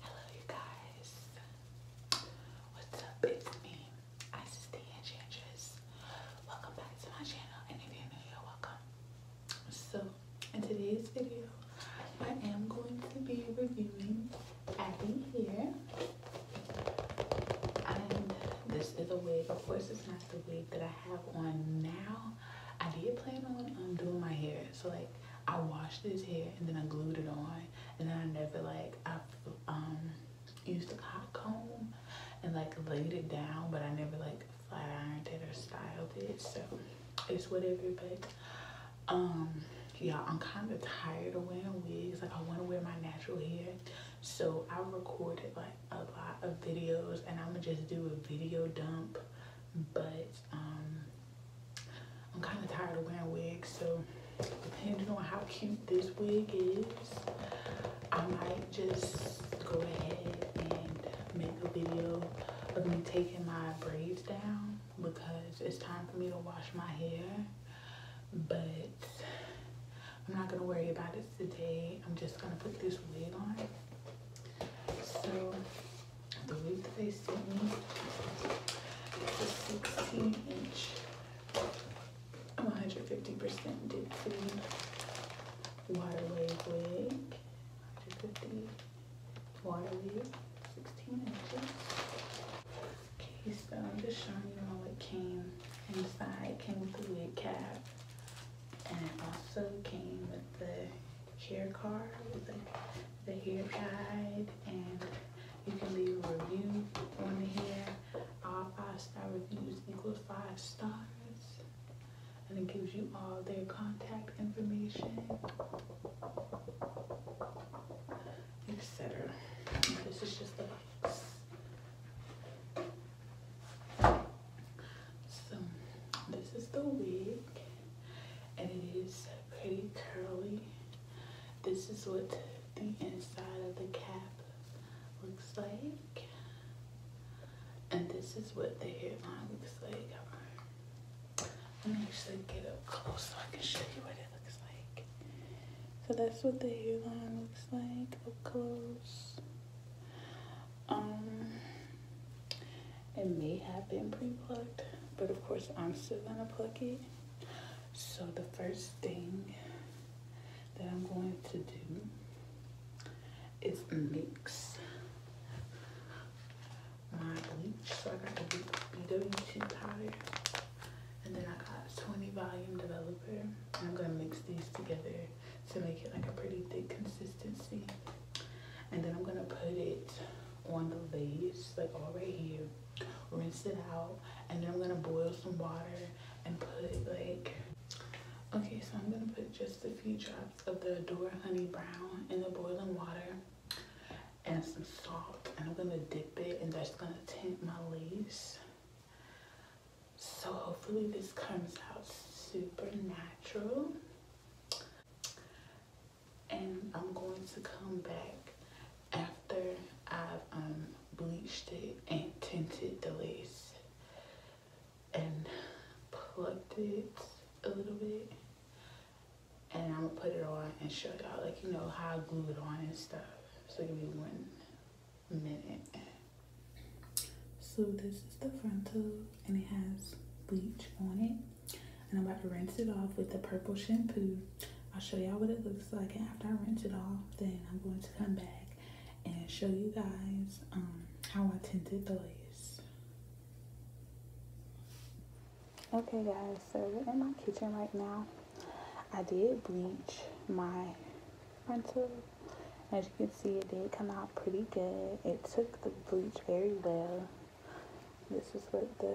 Hello you guys. What's up? It's me, Isis the Enchantress. Welcome back to my channel and if you're new here, welcome. So in today's video, I am going to be reviewing Abby here. And this is a wig. Of course it's not the wig that I have on now. I did plan on doing my hair. So like I washed this hair and then I glued it on and then I never like I um used a hot comb and like laid it down but I never like flat ironed it or styled it so it's whatever but um yeah I'm kind of tired of wearing wigs like I want to wear my natural hair so I recorded like a lot of videos and I'm gonna just do a video dump but um, I'm kind of tired of wearing wigs, so depending on how cute this wig is, I might just go ahead and make a video of me taking my braids down because it's time for me to wash my hair. But I'm not gonna worry about it today. I'm just gonna put this wig on. So the weight that they sent me it's 16 inch 150 percent dipsy water wave wig 150 water wave, 16 inches okay so i'm just showing you how it came inside came with the wig cap and it also came with the hair card the, the hair guide and you can leave a review on the hair. All five star reviews equals five stars. And it gives you all their contact information, etc. This is just the box. So this is the wig and it is pretty curly. This is what the inside of the cap looks like. And this is what the hairline looks like. Let me actually get up close so I can show you what it looks like. So that's what the hairline looks like up close. Um, it may have been pre-plucked, but of course I'm still gonna pluck it. So the first thing that I'm going to do is mix my bleach. So I got the BW2 powder and then I got 20 volume developer. I'm gonna mix these together to make it like a pretty thick consistency and then I'm gonna put it on the lace like all right here rinse it out and then I'm gonna boil some water and put like okay so I'm gonna put just a few drops of the Adore Honey Brown in the boiling water and some salt and I'm gonna dip it and that's gonna tint my lace so hopefully this comes out super natural and I'm going to come back after I've um, bleached it and tinted the lace and plucked it a little bit and I'm gonna put it on and show y'all like you know how I glue it on and stuff so give me one minute so this is the frontal and it has bleach on it. And I'm about to rinse it off with the purple shampoo. I'll show y'all what it looks like. after I rinse it off, then I'm going to come back and show you guys um, how I tinted the lace. Okay guys, so we're in my kitchen right now. I did bleach my frontal. As you can see, it did come out pretty good. It took the bleach very well this is what the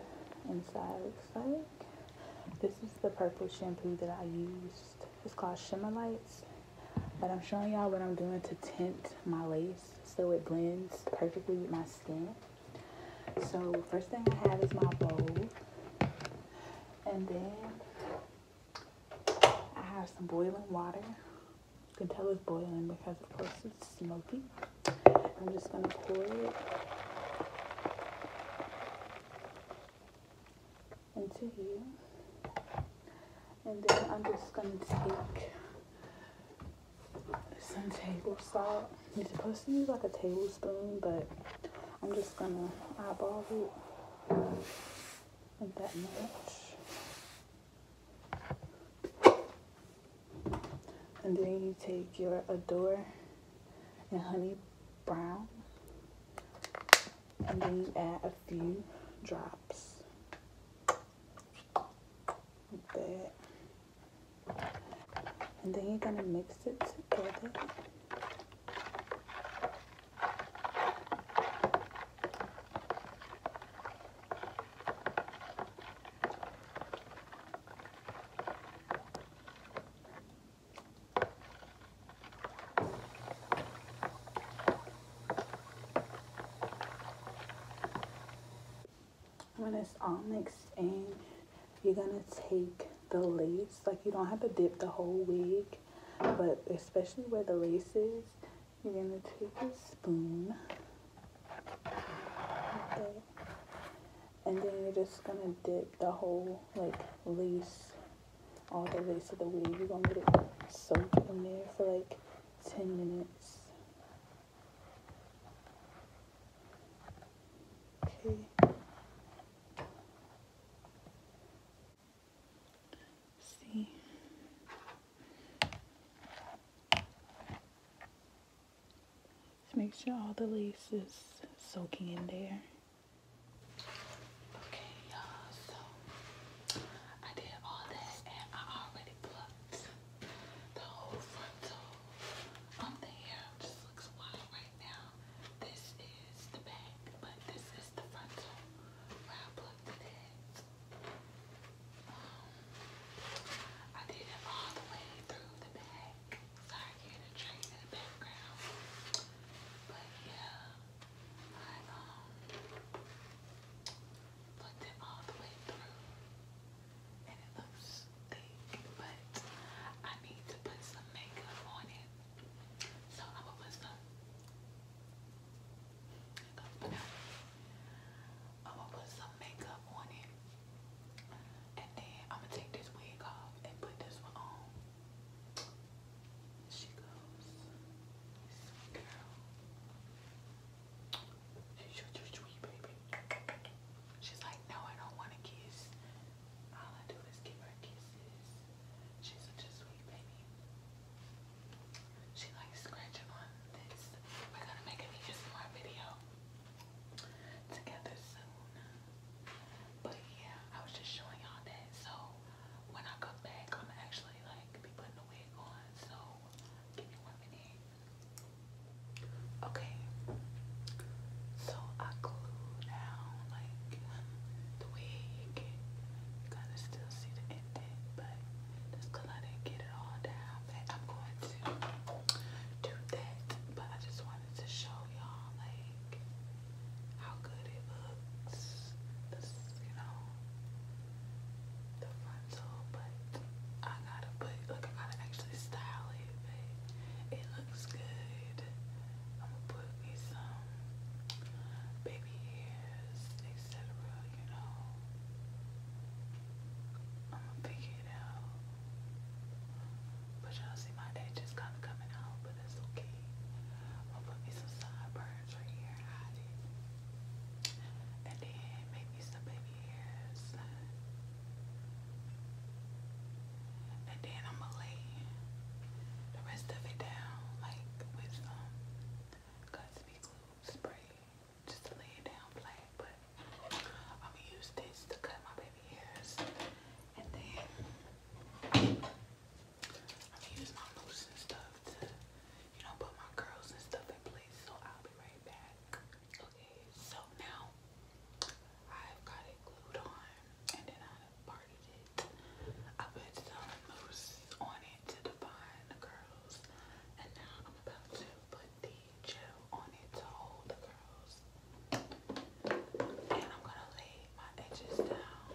inside looks like this is the purple shampoo that i used it's called shimmer lights but i'm showing y'all what i'm doing to tint my lace so it blends perfectly with my skin so first thing i have is my bowl and then i have some boiling water you can tell it's boiling because of course it's smoky. I'm just gonna pour it into here. And then I'm just gonna take some table salt. You're supposed to use like a tablespoon, but I'm just gonna eyeball it that much and then you take your Adore and Honey Brown and then you add a few drops like that and then you're gonna mix it together when it's all mixed in you're gonna take the lace like you don't have to dip the whole wig but especially where the lace is you're going to take a spoon. And then you're just going to dip the whole, like, lace, all the lace of the weave. You're going to let it soak in there for, like, 10 minutes. Okay. See? Just make sure all the lace is soaking in there. Okay, y'all, so I did all that and I already plucked the whole frontal on um, the hair. Just looks wild right now. This is the back, but this is the frontal I plucked it I did it all the way through the back. Sorry, hear the train in the background. But yeah, I um put it all the way through, and it looks thick. But I need to put some makeup on it, so I'm gonna put some. I'm gonna put some makeup on it. And then I'm gonna take this wig off and put this one on. she goes. Sweet girl. She's your sweet baby. She's like, no, I don't want to kiss. All I do is give her kisses. She's such a sweet baby. She likes scratching on this. We're gonna make an ASMR video together soon. But yeah, I was just showing y'all that. So when I come back, I'm actually like be putting the wig on. So give me one minute. Okay. So I glue down like the wig. You gotta still see the but just I didn't get it all down, I'm going to do that. But I just wanted to show y'all like how good it looks. you know, the frontal, but I gotta put like I gotta actually style it, but it looks good. I'm gonna put me some baby hairs, etc. You know, I'm gonna figure it out. But y'all see my day just kind of coming out, but that's okay. I'm gonna put me some sideburns right here, And then make me some baby And then I'm gonna lay the rest of it down, like with some Godspeed glue spray just to lay it down flat, but I'm gonna use this to cut my baby hairs, and then I'm gonna use my mousse and stuff to, you know, put my curls and stuff in place. So I'll be right back. Okay, so now I've got it glued on, and then I parted it. I put some mousse on it to define the curls. And now I'm about to put the gel on it to hold the curls. And I'm gonna lay my edges down.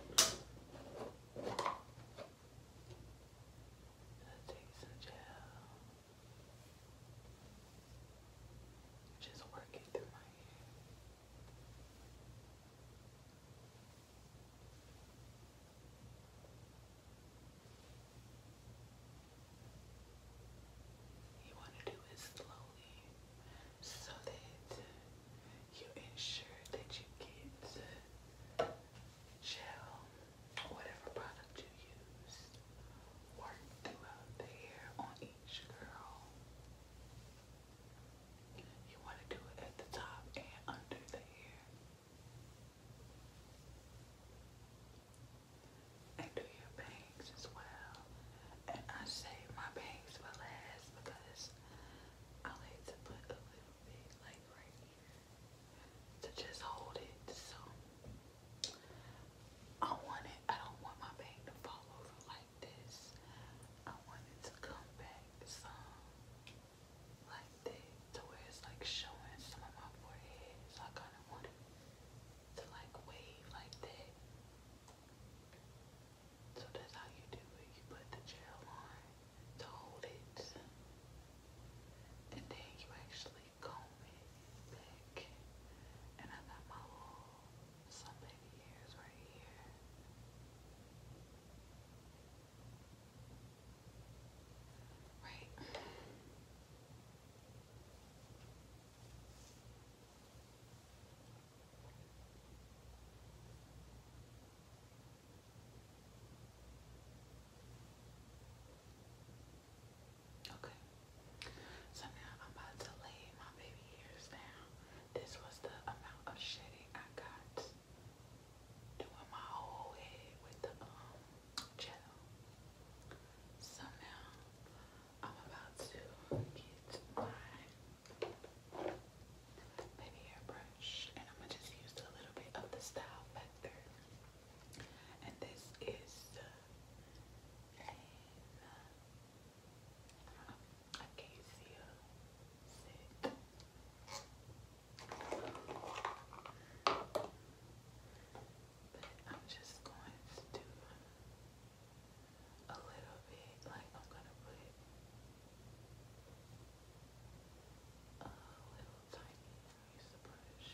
I'll take some gel. Just work it through my hair. You want to do it slowly so that you ensure that you get gel, whatever product you use, work throughout the hair on each girl. You want to do it at the top and under the hair and do your bangs as well. And I save my bangs for last because I like to put a little bit like right to just hold it. So I want it, I don't want my bang to fall over like this. I want to come back some like that to where it's like showing some of my forehead. So I kind of want it to like wave like that. So that's how you do it. You put the gel on to hold it. And then you actually comb it back. And I got my little some hairs right here. Wait. Okay. So now I'm about to lay my baby ears down. This was the amount of shitting I got doing my um, So now I'm about to get my baby hairbrush and I'm gonna just use a little bit of the style factor. And this is the uh, Acacia Sit. But I'm just going to do a little bit, like I'm gonna put a little tiny, use the brush.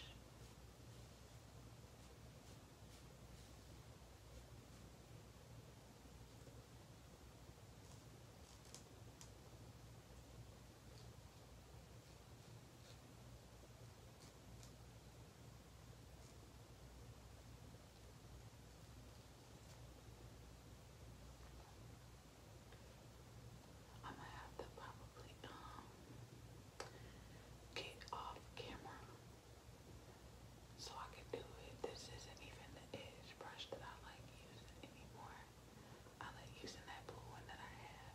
I'm gonna have to probably um get off camera so I can do it. This isn't even the edge brush that I like using anymore. I like using that blue one that I have.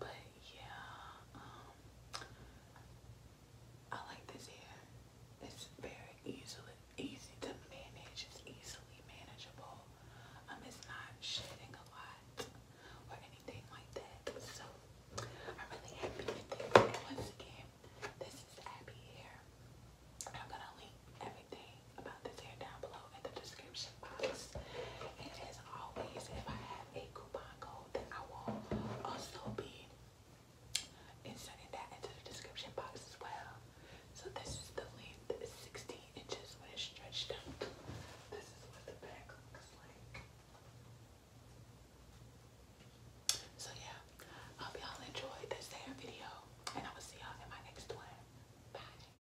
But yeah, um, I like this hair. It's very easily easy to manage. It's easily manageable. Um, it's not shedding a lot or anything like that. So I'm really happy with this. once again, this is Abby hair. I'm gonna link everything about this hair down below in the description box. And as always, if I have a coupon code, then I will also be inserting that into the description box as well. So this is the length, it's 16 inches when it's stretched out. This is what the back looks like. So yeah, hope y'all enjoyed this hair video, and I will see y'all in my next one. Bye.